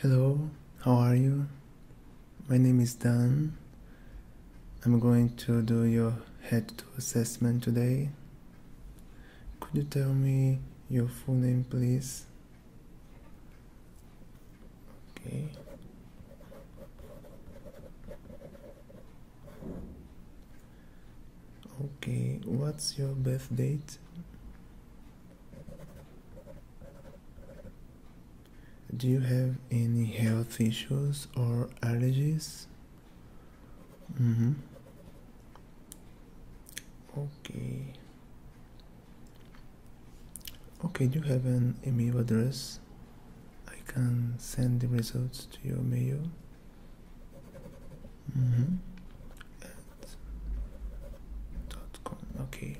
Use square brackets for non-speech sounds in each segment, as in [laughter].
Hello, how are you? My name is Dan. I'm going to do your head to assessment today. Could you tell me your full name, please? Okay. Okay, what's your birth date? Do you have any health issues or allergies? Mm-hmm. Okay. Okay, do you have an email address? I can send the results to your mail. Mm-hmm dot okay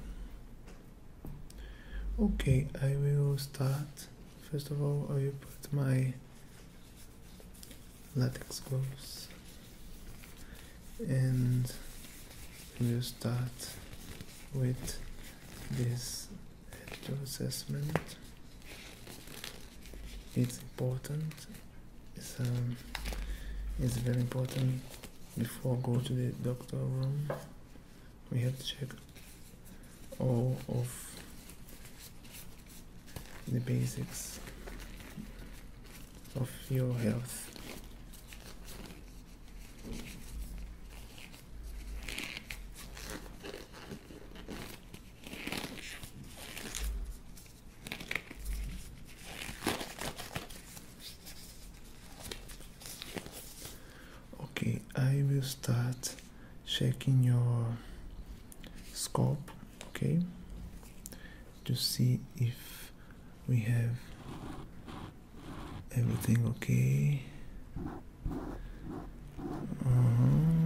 okay I will start first of all I will put my latex gloves and we'll start with this assessment it's important it's, um, it's very important before I go to the doctor room we have to check all of the basics of your health Okay, I will start checking your scope, okay, to see if we have everything okay. Uh-huh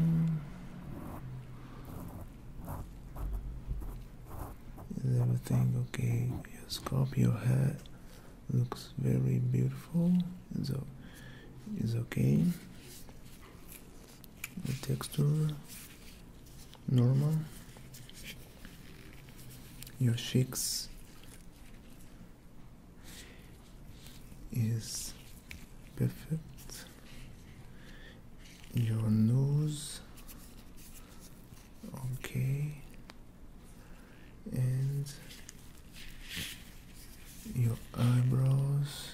everything okay? Your scalp, your hair looks very beautiful. Is it's okay. The texture normal. Your cheeks is perfect. Your nose okay and your eyebrows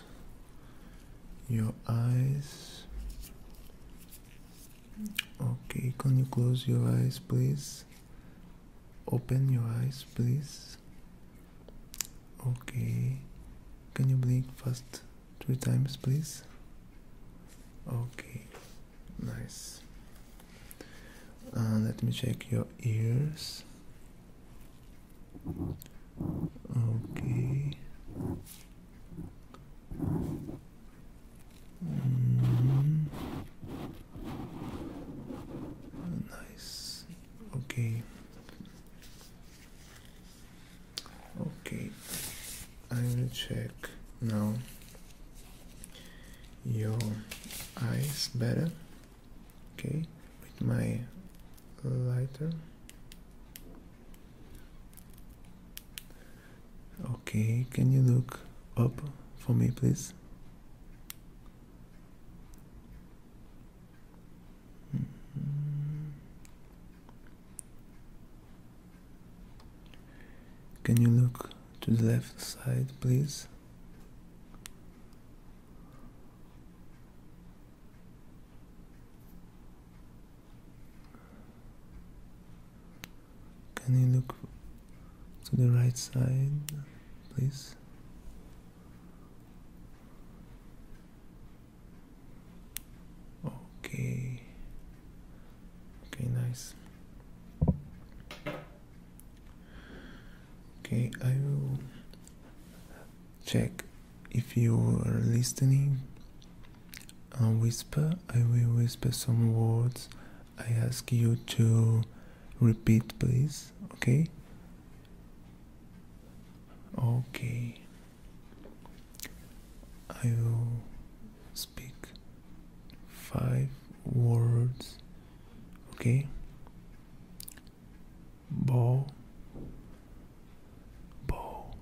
your eyes okay can you close your eyes please open your eyes please okay can you blink fast Three times, please. Okay, nice. Uh, let me check your ears. Okay. Mm. Nice. Okay. Okay, I will check now your eyes better. Okay, with my lighter. Okay, can you look up for me, please? Mm-hmm. Can you look to the left side, please? Can you look to the right side, please? Okay. Okay, nice. Okay, I will check if you are listening. I whisper, I will whisper some words. I ask you to repeat, please. Okay. Okay. I will speak five words, okay? Ball, ball,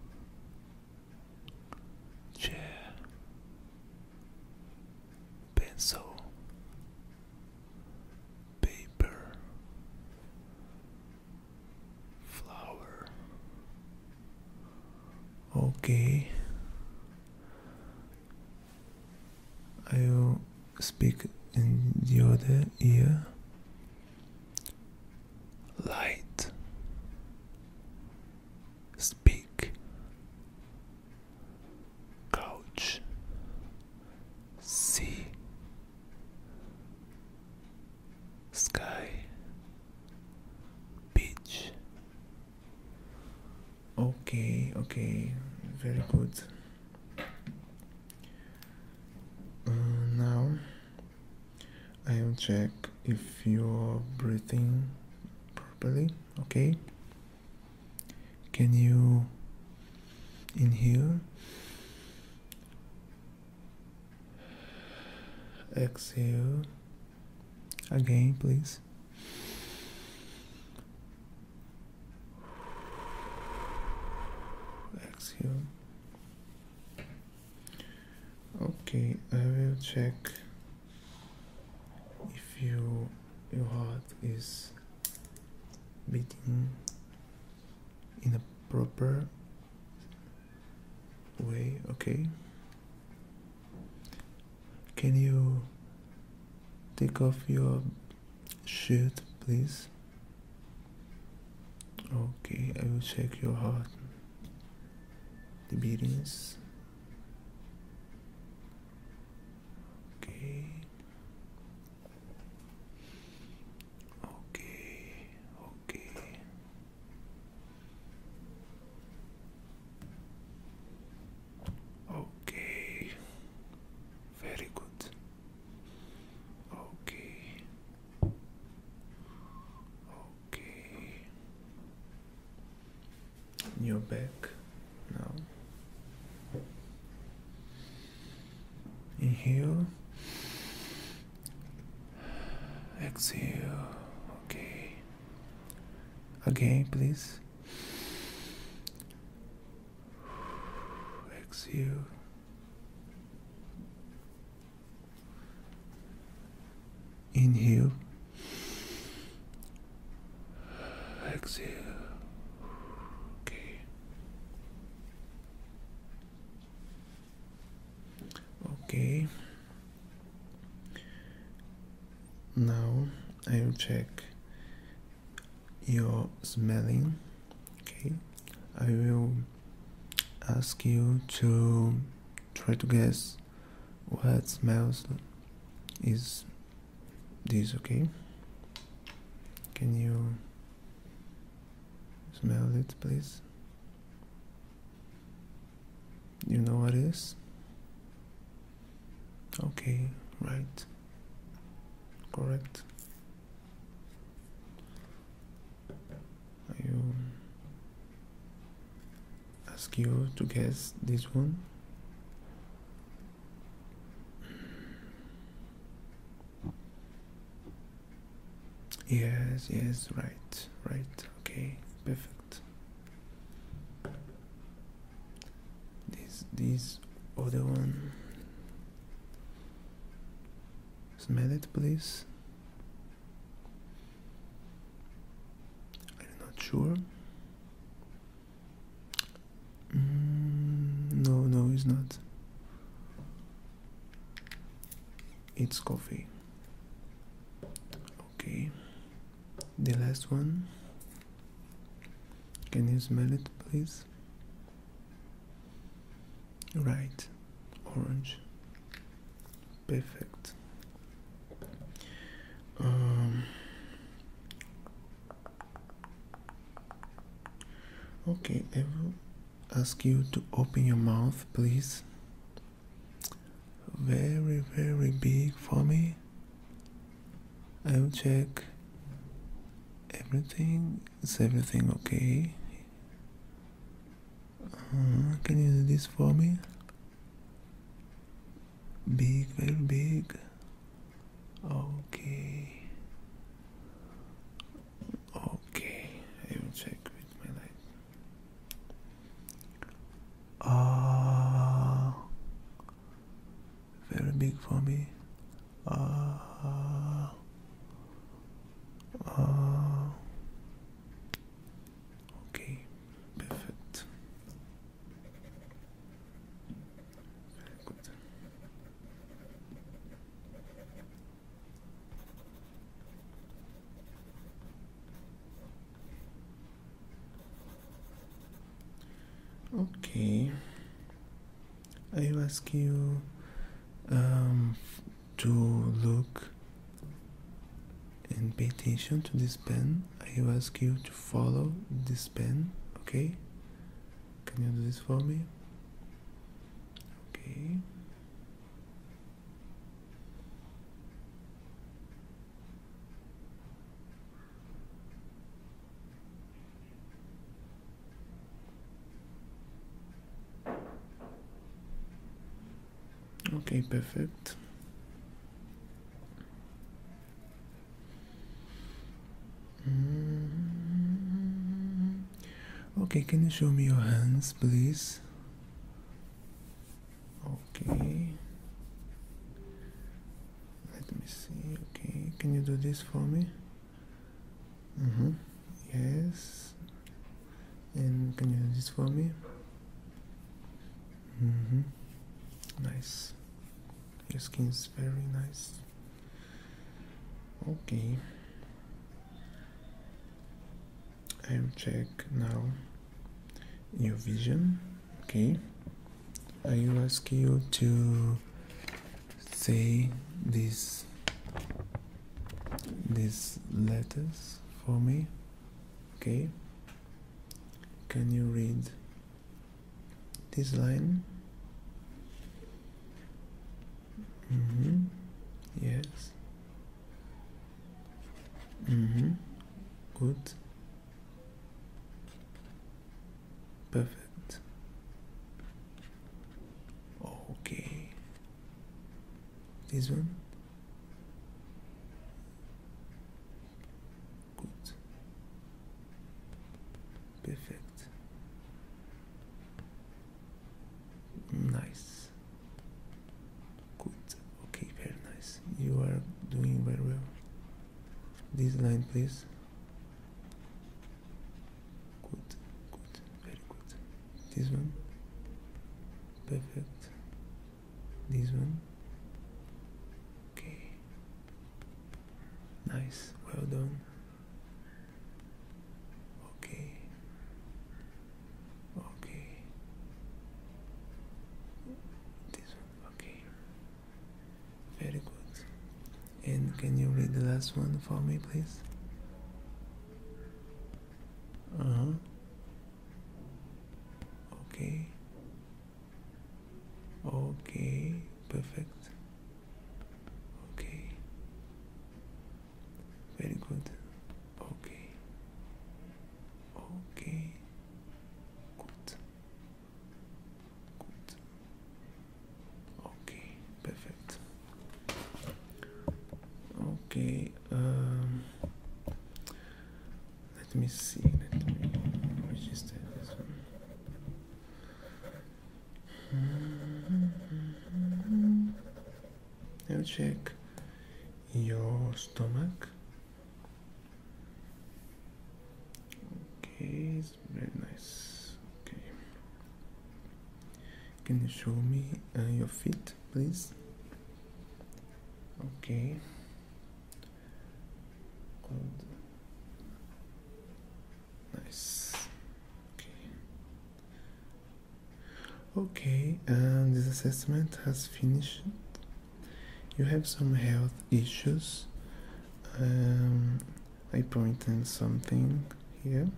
chair, pencil, paper, flower. Okay. I will speak in the other ear. Light. Speak. Couch. See sky, beach. Okay, okay, very good. Uh, now I will check if you're breathing properly, okay? Can you inhale? Exhale. Again, please. Exhale. Okay, I will check if you your heart is beating in a proper way. Okay, can you take off your shirt, please? Okay, I will check your heart, the beatings. Okay. Okay, okay, Okay, very good. Okay, okay, your back now. Inhale Exhale. Okay. Again, please. Exhale. Inhale. Exhale. Okay okay now I will check your smelling okay I will ask you to try to guess what smells is this okay can you smell it please you know what is? Okay, right. Correct. I will ask you to guess this one. Yes, yes, right, right, okay perfect this this other one smell it please I'm not sure mm, no no it's not it's coffee Okay, the last one. Can you smell it, please? Right, orange. Perfect. Um, okay, I will ask you to open your mouth, please very very big for me I will check everything is everything okay uh, can you do this for me big very big okay okay I will check with my light Ah, uh, very big for me. Ah, uh, uh, okay, perfect. Very good. Okay. I ask you um, to look and pay attention to this pen. I ask you to follow this pen, okay? Can you do this for me? Okay. Okay, perfect. Mm-hmm. Okay, can you show me your hands, please? okay let me see okay can you do this for me mm -hmm. yes and can you do this for me mm -hmm. nice your skin is very nice okay I will check now your vision. Okay, I will ask you to say these these letters for me. Okay, can you read this line? Mm -hmm. Yes. Mhm. Good. Perfect. Okay. This one. Gut. Perfect. Nice. Good. Okay, very nice. You are doing very well. This line, please. Good, good, very good. This one. Perfect. This one. Okay. Nice. Well done. Okay. Okay. This one. Okay. Very good. And can you read the last one for me, please? Uh huh. Okay. Okay. Perfect. Okay. Very good. Okay. Okay. Good. Good. Okay. Perfect. Okay. Um, let me see. Let me register this one. Now check your stomach. Okay, very nice. Okay. Can you show me uh, your feet, please? Okay. Nice. Okay. Okay, this assessment has finished. You have some health issues. Um, I pointed something here.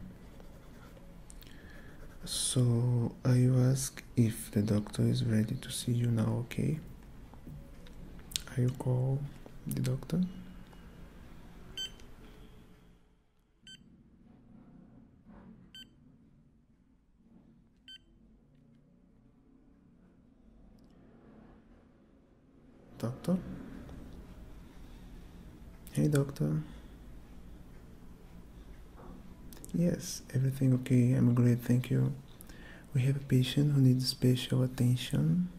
So I ask if the doctor is ready to see you now, okay? I call the doctor. Doctor? Hey, doctor. Yes, everything okay. I'm great, thank you. We have a patient who needs special attention.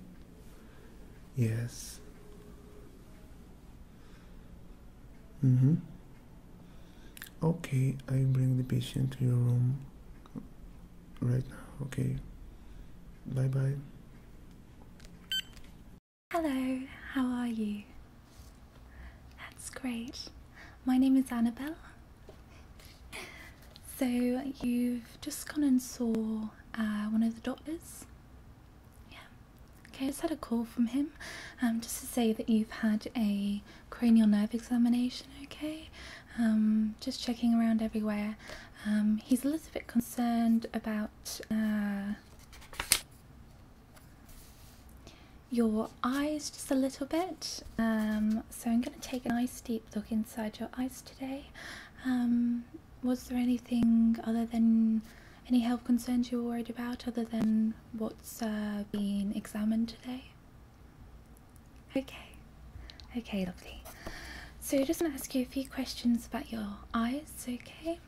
Yes. Mm-hmm. Okay, I bring the patient to your room right now. Okay. Bye bye. Hello, how are you? That's great. My name is Annabelle. So, you've just gone and saw uh, one of the doctors? Yeah. Okay, I just had a call from him um, just to say that you've had a cranial nerve examination, okay? Um, just checking around everywhere. Um, he's a little bit concerned about uh, your eyes just a little bit. Um, so I'm going to take a nice deep look inside your eyes today. Um, was there anything other than any health concerns you're worried about other than what's uh, been examined today? Okay, okay, lovely. So, I just want to ask you a few questions about your eyes, okay?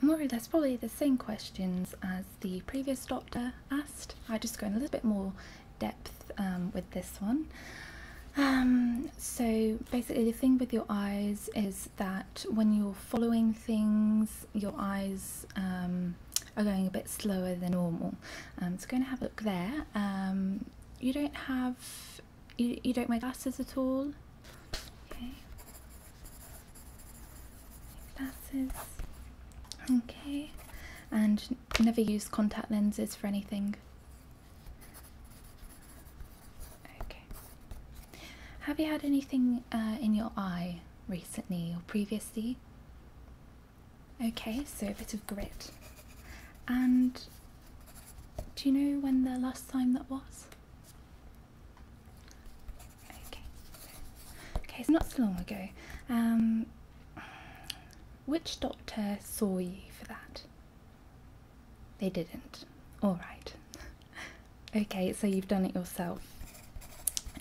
More or less, probably the same questions as the previous doctor asked. I just go in a little bit more depth um, with this one. Um, so basically, the thing with your eyes is that when you're following things your eyes um, are going a bit slower than normal. Um, so going to have a look there. Um, you don't have you, you don't wear glasses at all. Okay. Glasses. Okay. And never use contact lenses for anything. Okay. Have you had anything uh, in your eye recently or previously? Okay, so a bit of grit. And do you know when the last time that was? Okay, okay, it's not so long ago. Um, which doctor saw you for that? They didn't. All right. Okay, so you've done it yourself.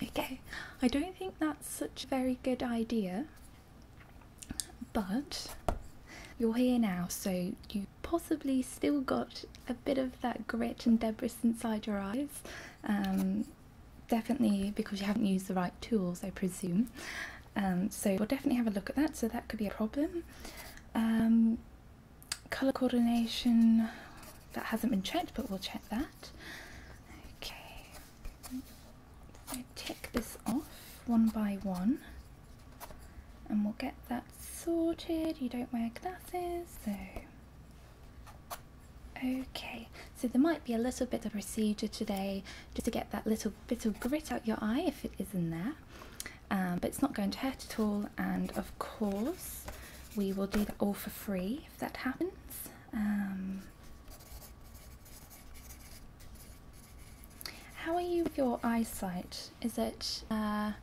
Okay, I don't think that's such a very good idea, but you're here now, so you possibly still got a bit of that grit and debris inside your eyes. Um, definitely because you haven't used the right tools, I presume. Um, so we'll definitely have a look at that, so that could be a problem. Um, color coordination that hasn't been checked but we'll check that okay so tick this off one by one and we'll get that sorted you don't wear glasses so okay so there might be a little bit of procedure today just to get that little bit of grit out your eye if it is in there um, but it's not going to hurt at all and of course we will do that all for free if that happens. Um, how are you with your eyesight? Is it, uh,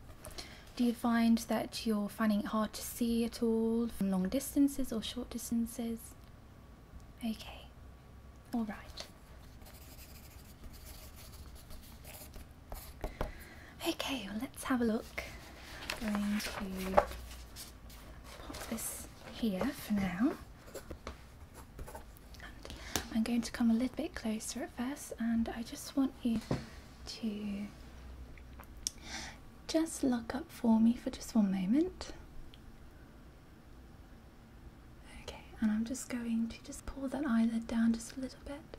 do you find that you're finding it hard to see at all from long distances or short distances? Okay, alright. Okay, well, let's have a look. I'm going to pop this here for now. I'm going to come a little bit closer at first and I just want you to just look up for me for just one moment. Okay, and I'm just going to just pull that eyelid down just a little bit.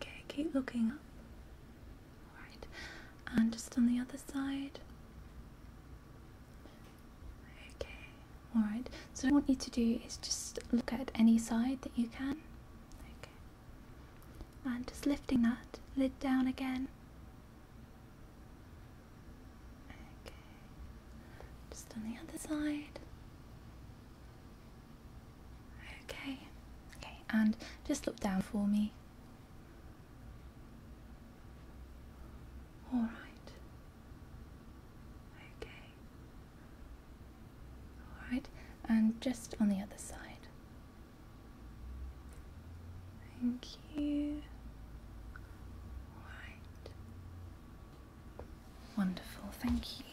Okay, keep looking up. Alright, and just on the other side. Okay, alright. So, what I want you to do is just look at any side that you can. Okay, and just lifting that lid down again. Okay, just on the other side. Okay, okay, and just look down for me. All right. Okay. All right, and just on the other side. Thank you. All right. Wonderful, thank you.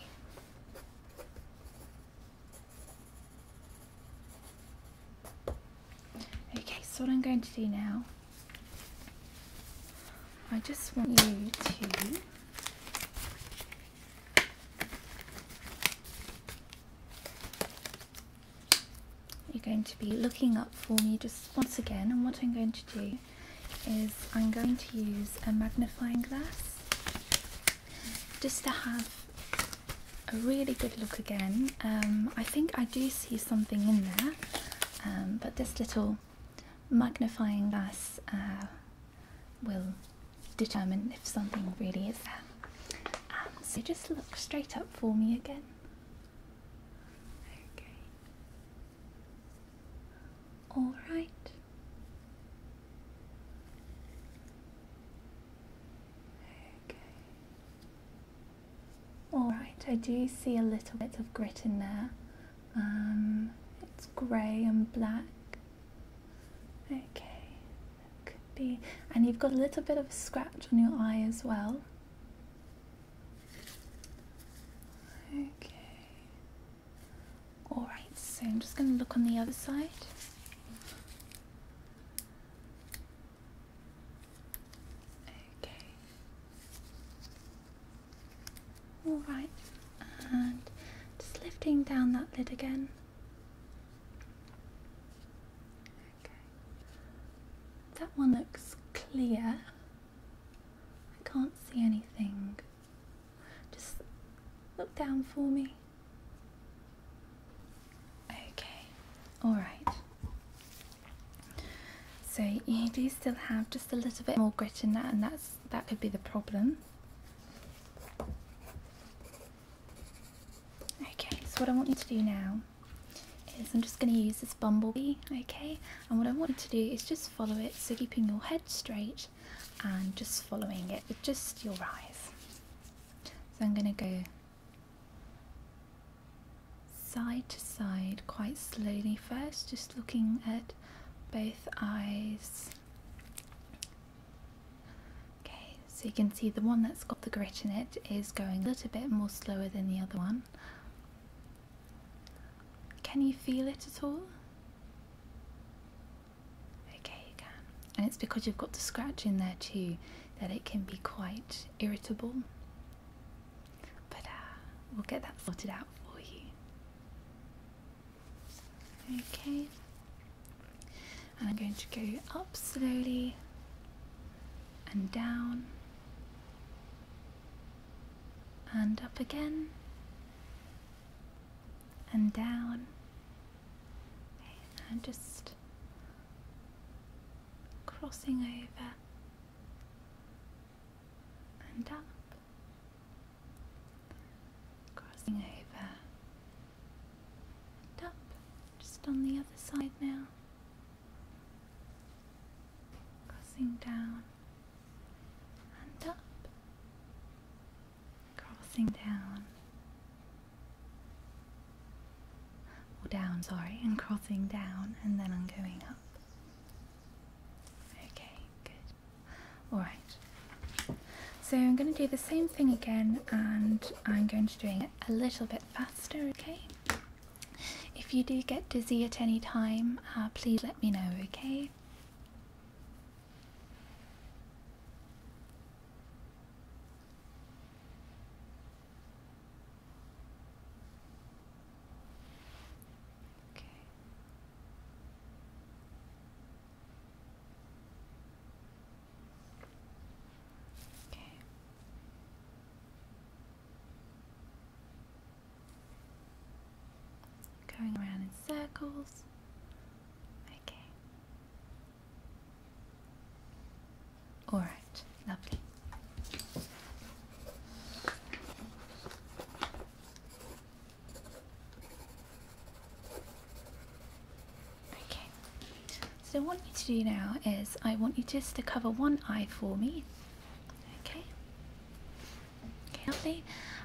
Okay, so what I'm going to do now, I just want you to You're going to be looking up for me just once again and what I'm going to do is I'm going to use a magnifying glass just to have a really good look again. Um, I think I do see something in there, um, but this little magnifying glass uh, will determine if something really is there. Um, so just look straight up for me again. Okay. All right. Alright, I do see a little bit of grit in there. Um, it's grey and black. Okay, could be. And you've got a little bit of a scratch on your eye as well. Okay. Alright, so I'm just going to look on the other side. Okay. Alright, and just lifting down that lid again. Okay. That one looks clear. I can't see anything. Just look down for me. Okay, alright. So you do still have just a little bit more grit in that and that's that could be the problem. Okay, so what I want you to do now is I'm just going to use this bumblebee, okay? And what I want you to do is just follow it, so keeping your head straight and just following it with just your eyes. So I'm going to go side to side quite slowly first, just looking at both eyes. Okay, so you can see the one that's got the grit in it is going a little bit more slower than the other one. Can you feel it at all? Okay, you can. And it's because you've got the scratch in there too that it can be quite irritable. But uh, we'll get that sorted out for you. Okay. And I'm going to go up slowly and down and up again and down Okay, and just crossing over and up, crossing over and up, just on the other side now, crossing down and up crossing down or down sorry and crossing down and then I'm going up okay good all right so I'm going to do the same thing again and I'm going to do it a little bit faster okay if you do get dizzy at any time uh, please let me know okay Okay. Okay. Going around in circles. Okay. All right, lovely. Okay, so what I want you to do now is I want you just to cover one eye for me. Okay. Okay, lovely.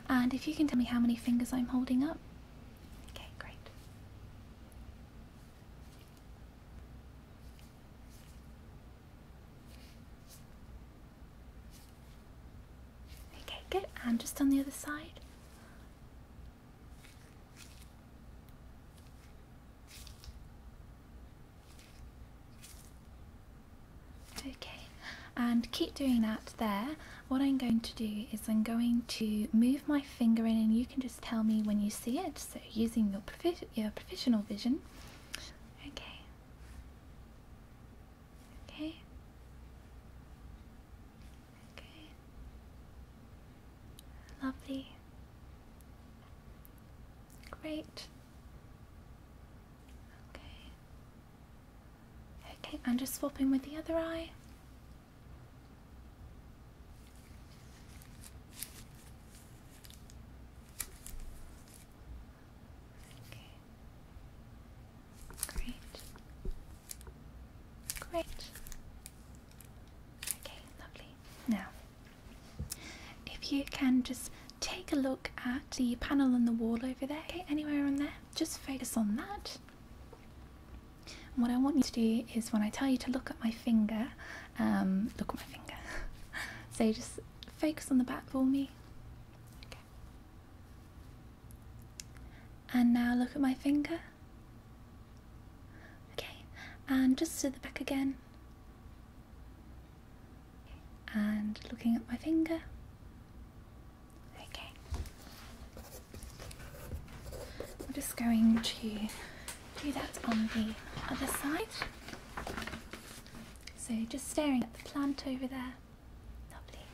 And if you can tell me how many fingers I'm holding up. Okay, great. Okay, good. And just on the other side. Okay, and keep doing that there what I'm going to do is I'm going to move my finger in and you can just tell me when you see it. So using your, profi your professional vision. Okay. Okay. Okay. Lovely. Great. Okay. Okay, I'm just swapping with the other eye. Okay. Great. Great. Okay, lovely. Now, if you can just take a look at the panel on the wall over there, anywhere on there, just focus on that. And what I want you to do is when I tell you to look at my finger, um, look at my finger. [laughs] so just focus on the back for me. And now look at my finger. Okay. And just to the back again. And looking at my finger. Okay. I'm just going to do that on the other side. So just staring at the plant over there. Lovely.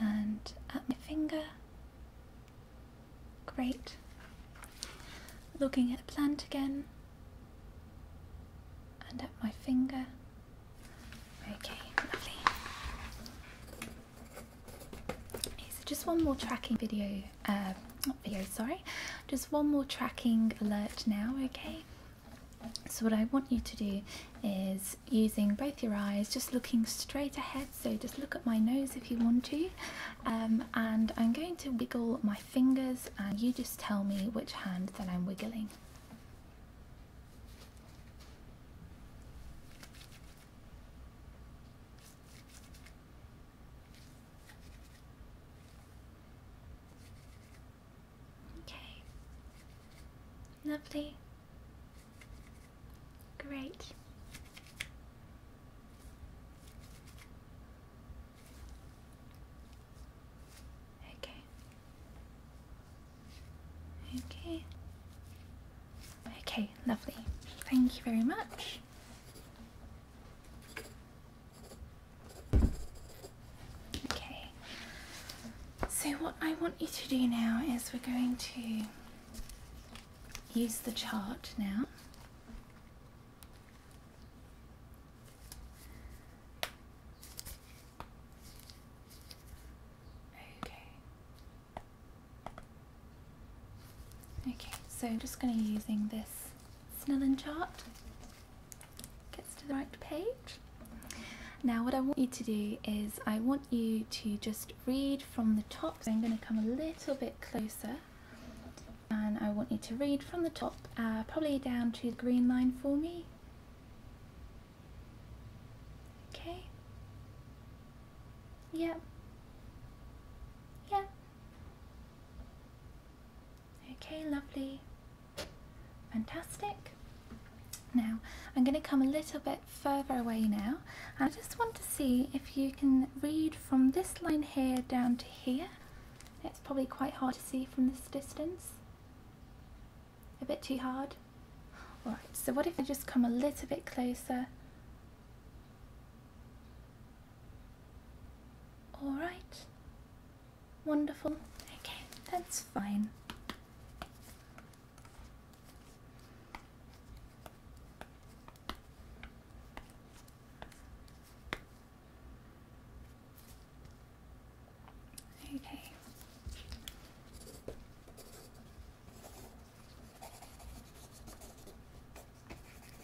And at my finger. Great. Looking at the plant again. And at my finger. Okay, lovely. so just one more tracking video, uh, not video, sorry, just one more tracking alert now, okay? So what I want you to do is using both your eyes, just looking straight ahead. So just look at my nose if you want to. Um, and I'm going to wiggle my fingers and you just tell me which hand that I'm wiggling. Okay. Lovely. Great. Okay. Okay. Okay, lovely. Thank you very much. Okay. So what I want you to do now is we're going to use the chart now. Okay. Okay, so I'm just going to be using this Snellen chart. Gets to the right page. Now what I want you to do is I want you to just read from the top. So I'm going to come a little bit closer and I want you to read from the top, uh, probably down to the green line for me. Okay? Yep. Yep. Okay, lovely. Fantastic. Now, I'm going to come a little bit further away now. I just want to see if you can read from this line here down to here. It's probably quite hard to see from this distance. A bit too hard? Alright, so what if I just come a little bit closer? Alright. Wonderful. Okay, that's fine. Okay.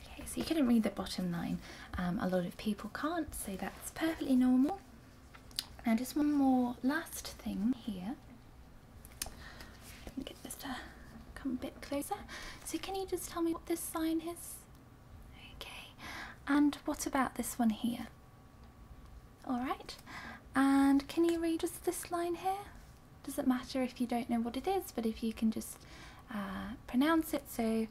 Okay, so you couldn't read the bottom line. Um, a lot of people can't, so that's perfectly normal. Now just one more last thing here. Let me get this to come a bit closer. So can you just tell me what this sign is? Okay. And what about this one here? Alright, and can you read us this line here? Doesn't matter if you don't know what it is, but if you can just uh, pronounce it. So,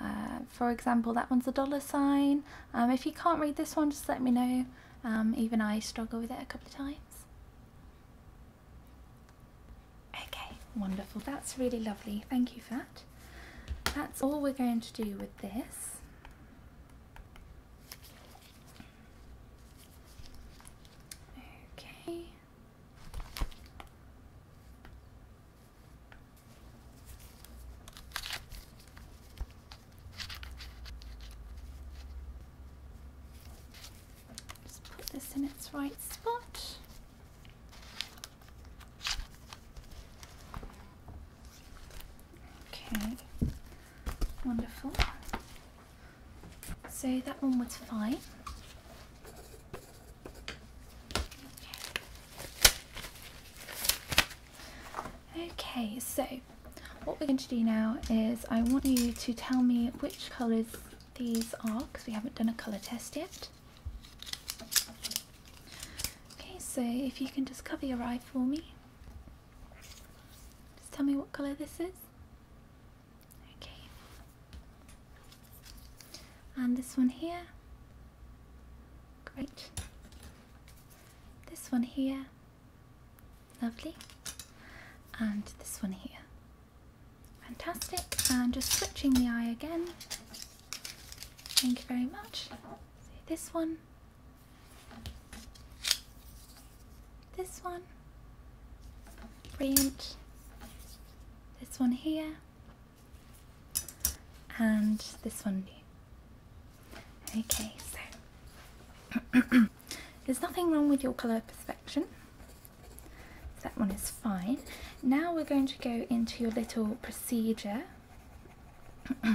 uh, for example, that one's a dollar sign. Um, if you can't read this one, just let me know. Um, even I struggle with it a couple of times. Okay, wonderful. That's really lovely. Thank you for that. That's all we're going to do with this. Okay. Just put this in its right spot. Okay, Wonderful. So that one was fine. Okay. so what we're going to do now is I want you to tell me which colours these are because we haven't done a colour test yet. Okay, so if you can just cover your eye for me. Just tell me what colour this is. Okay. And this one here. Great. This one here. Lovely. And this one here. Fantastic. And just switching the eye again. Thank you very much. So this one this one. Brilliant. This one here. And this one new. Okay, so [clears throat] there's nothing wrong with your colour perception. that one is fine. Now we're going to go into your little procedure [coughs]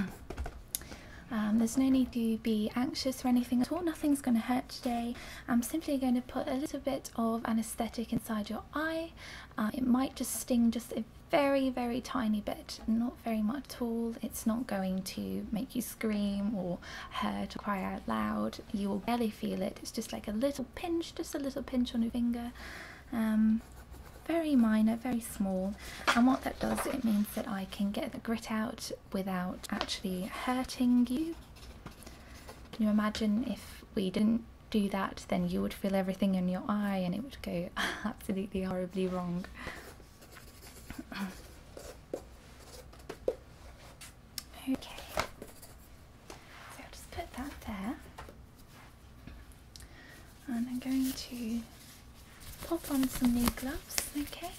Um, there's no need to be anxious or anything at all, nothing's going to hurt today. I'm simply going to put a little bit of anesthetic inside your eye. Uh, it might just sting just a very, very tiny bit, not very much at all. It's not going to make you scream or hurt or cry out loud. You will barely feel it. It's just like a little pinch, just a little pinch on your finger. Um, very minor, very small. And what that does, it means that I can get the grit out without actually hurting you. Can you imagine if we didn't do that, then you would feel everything in your eye and it would go [laughs] absolutely horribly wrong. [coughs] okay, so I'll just put that there, and I'm going to pop on some new gloves, okay?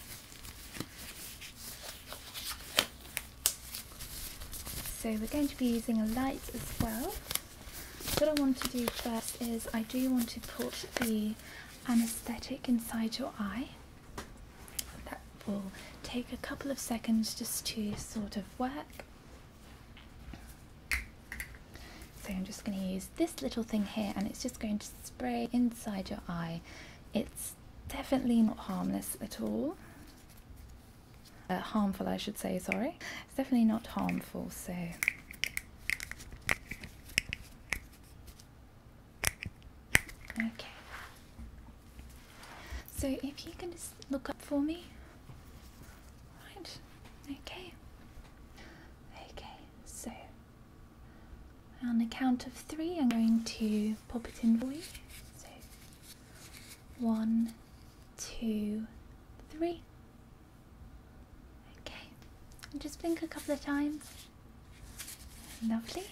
So we're going to be using a light as well. What I want to do first is I do want to put the anesthetic inside your eye. That will take a couple of seconds just to sort of work. So I'm just going to use this little thing here and it's just going to spray inside your eye. It's definitely not harmless at all. Uh, harmful, I should say, sorry. It's definitely not harmful, so Okay. So if you can just look up for me. Right. Okay. Okay. So on the count of three, I'm going to pop it in for you. So, one, two, three. Okay, just blink a couple of times. Lovely.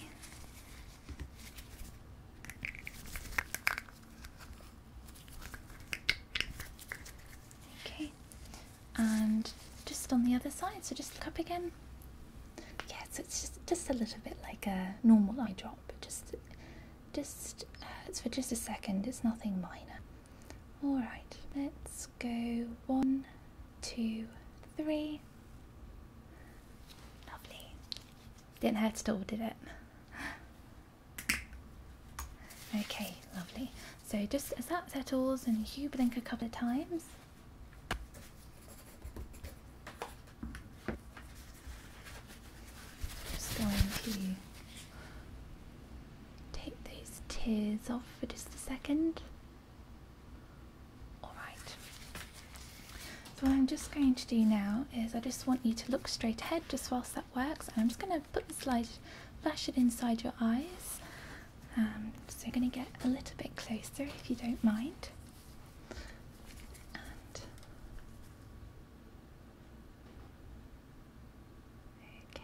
Okay, and just on the other side so just look up again yeah so it's just just a little bit like a normal eye drop just just uh, it's for just a second it's nothing minor all right let's go one two three lovely didn't hurt at all did it Okay, lovely. So just as that settles and you blink a couple of times, just going to take these tears off for just a second. Alright. what I'm just going to do now is I just want you to look straight ahead just whilst that works. And I'm just going to put the slide, flash it inside your eyes. Um, so we're going to get a little bit closer if you don't mind. okay,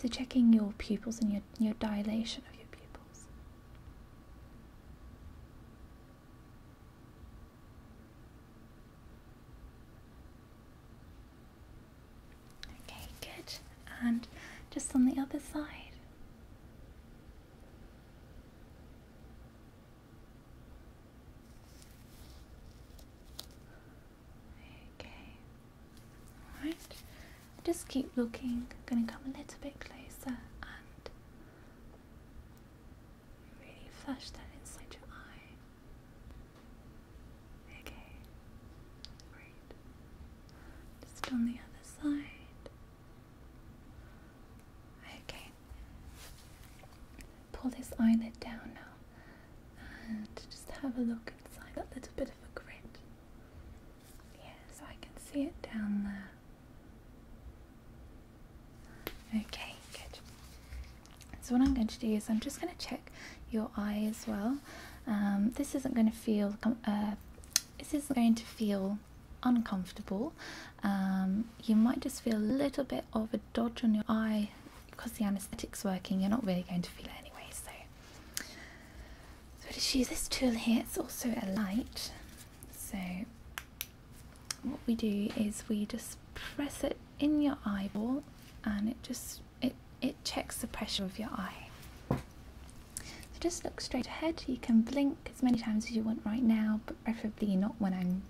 so checking your pupils and your, your dilation of your pupils. Okay, good. And just on the other side. Okay. Alright. Just keep looking. I'm going to come a little bit closer and really flush that inside your eye. Okay. Great. Just on the other side. Okay. Pull this eyelid down now and just have a look inside that little bit of a grit. Yeah, so I can see it down there. Okay, good. So what I'm going to do is I'm just going to check your eye as well. Um, this isn't going to feel uh, this is going to feel uncomfortable. Um, you might just feel a little bit of a dodge on your eye because the anesthetic's working, you're not really going to feel it anyway. So, so just use this tool here, it's also a light. So, what we do is we just press it in your eyeball and it just it it checks the pressure of your eye so just look straight ahead. You can blink as many times as you want right now, but preferably not when I'm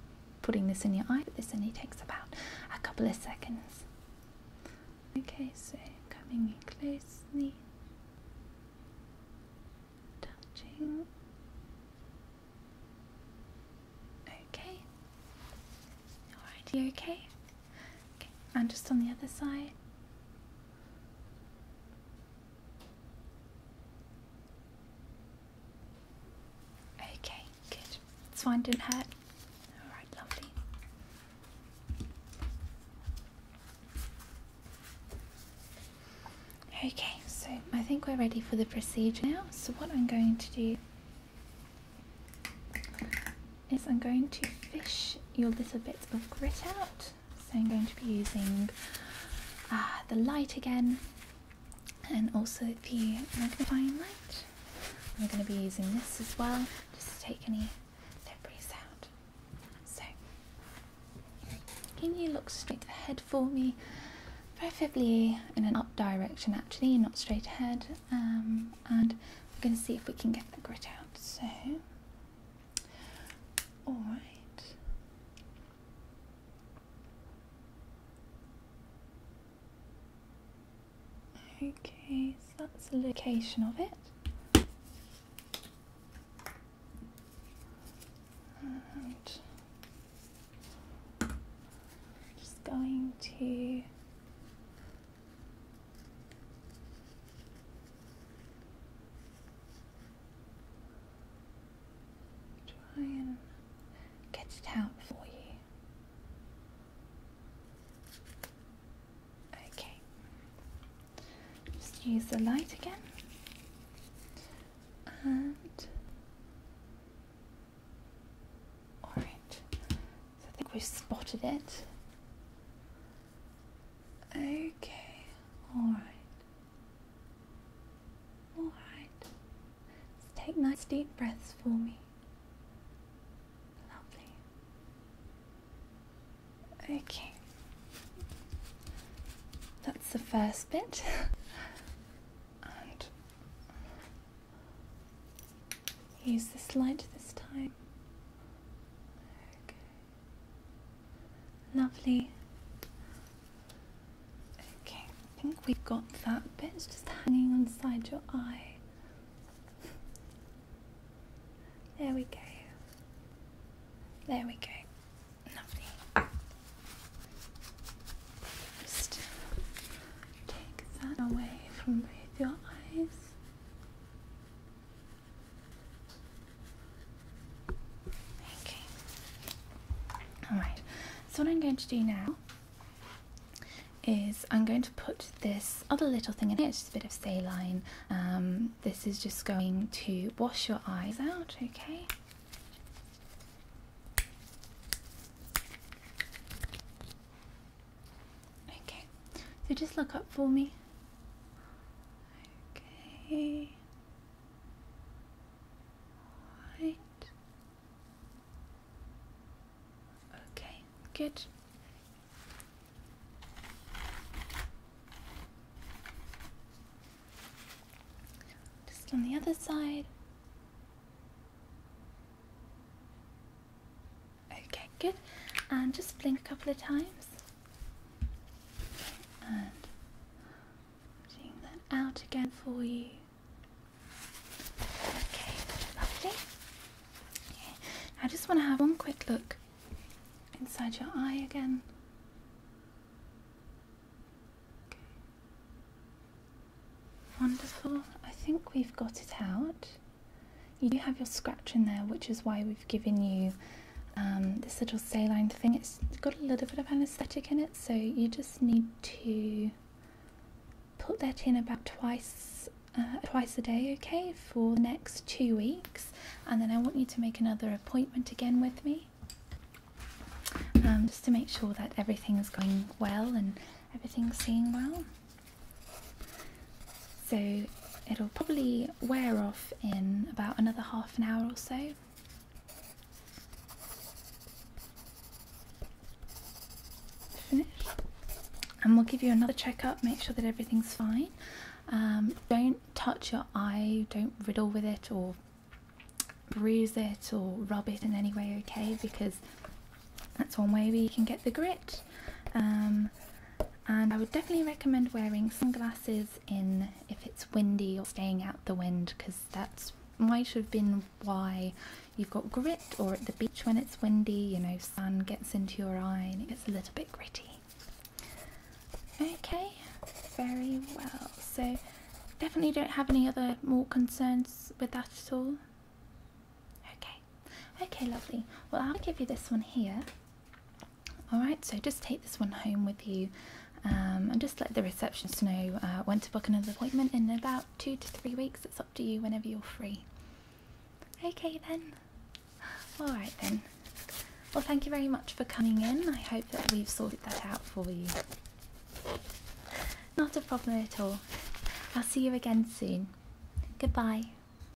putting this in your eye. But this only takes about a couple of seconds. Okay, so coming in closely, touching. Okay. Alright, you okay? Okay, am just on the other side. Okay, good. It's fine, didn't hurt. Alright, lovely. Okay, so I think we're ready for the procedure now. So what I'm going to do is I'm going to fish your little bits of grit out. So I'm going to be using ah, the light again and also the magnifying light. I'm going to be using this as well just to take any debris out. So can you look straight ahead for me? Preferably in an up direction actually, not straight ahead. Um, and we're going to see if we can get the grit out. So all right. Okay, so that's the location of it. just going to Try and get it out for you. Okay. Just use the light again. And all right. So I think we've spotted it. Okay, alright. Alright. Let's take nice deep breaths for me. Lovely. Okay. That's the first bit. [laughs] use this light this time. Okay. Lovely. Okay, I think we have got that bit. just hanging on side your eye. There we go. There we go. Lovely. Just take that away from both your eyes. Okay. Alright, so what I'm going to do now is I'm going to put this other little thing in here, it's just a bit of saline. Um, this is just going to wash your eyes out, okay? Okay, so just look up for me. Okay. Right. Okay, good. Just on the other side. Okay, good. And just blink a couple of times. And bring that out again for you. Okay, lovely. Okay. I just want to have one quick look inside your eye again. Wonderful. I think we've got it out. You do have your scratch in there, which is why we've given you um, this little saline thing. It's got a little bit of anaesthetic in it, so you just need to put that in about twice uh, twice a day, okay, for the next two weeks. And then I want you to make another appointment again with me, um, just to make sure that everything's going well and everything's seeing well. So it'll probably wear off in about another half an hour or so. Finished. And we'll give you another checkup, make sure that everything's fine. Um, don't touch your eye, don't riddle with it or bruise it or rub it in any way, okay? Because that's one way we can get the grit. Um, and I would definitely recommend wearing sunglasses in if it's windy or staying out the wind because that's might have been why you've got grit or at the beach when it's windy you know sun gets into your eye and it gets a little bit gritty okay very well so definitely don't have any other more concerns with that at all okay Okay, lovely. Well, I'll give you this one here. All right, so just take this one home with you um, and just let the receptionist know uh, when to book another appointment in about two to three weeks. It's up to you whenever you're free. Okay, then. All right, then. Well, thank you very much for coming in. I hope that we've sorted that out for you. Not a problem at all. I'll see you again soon. Goodbye.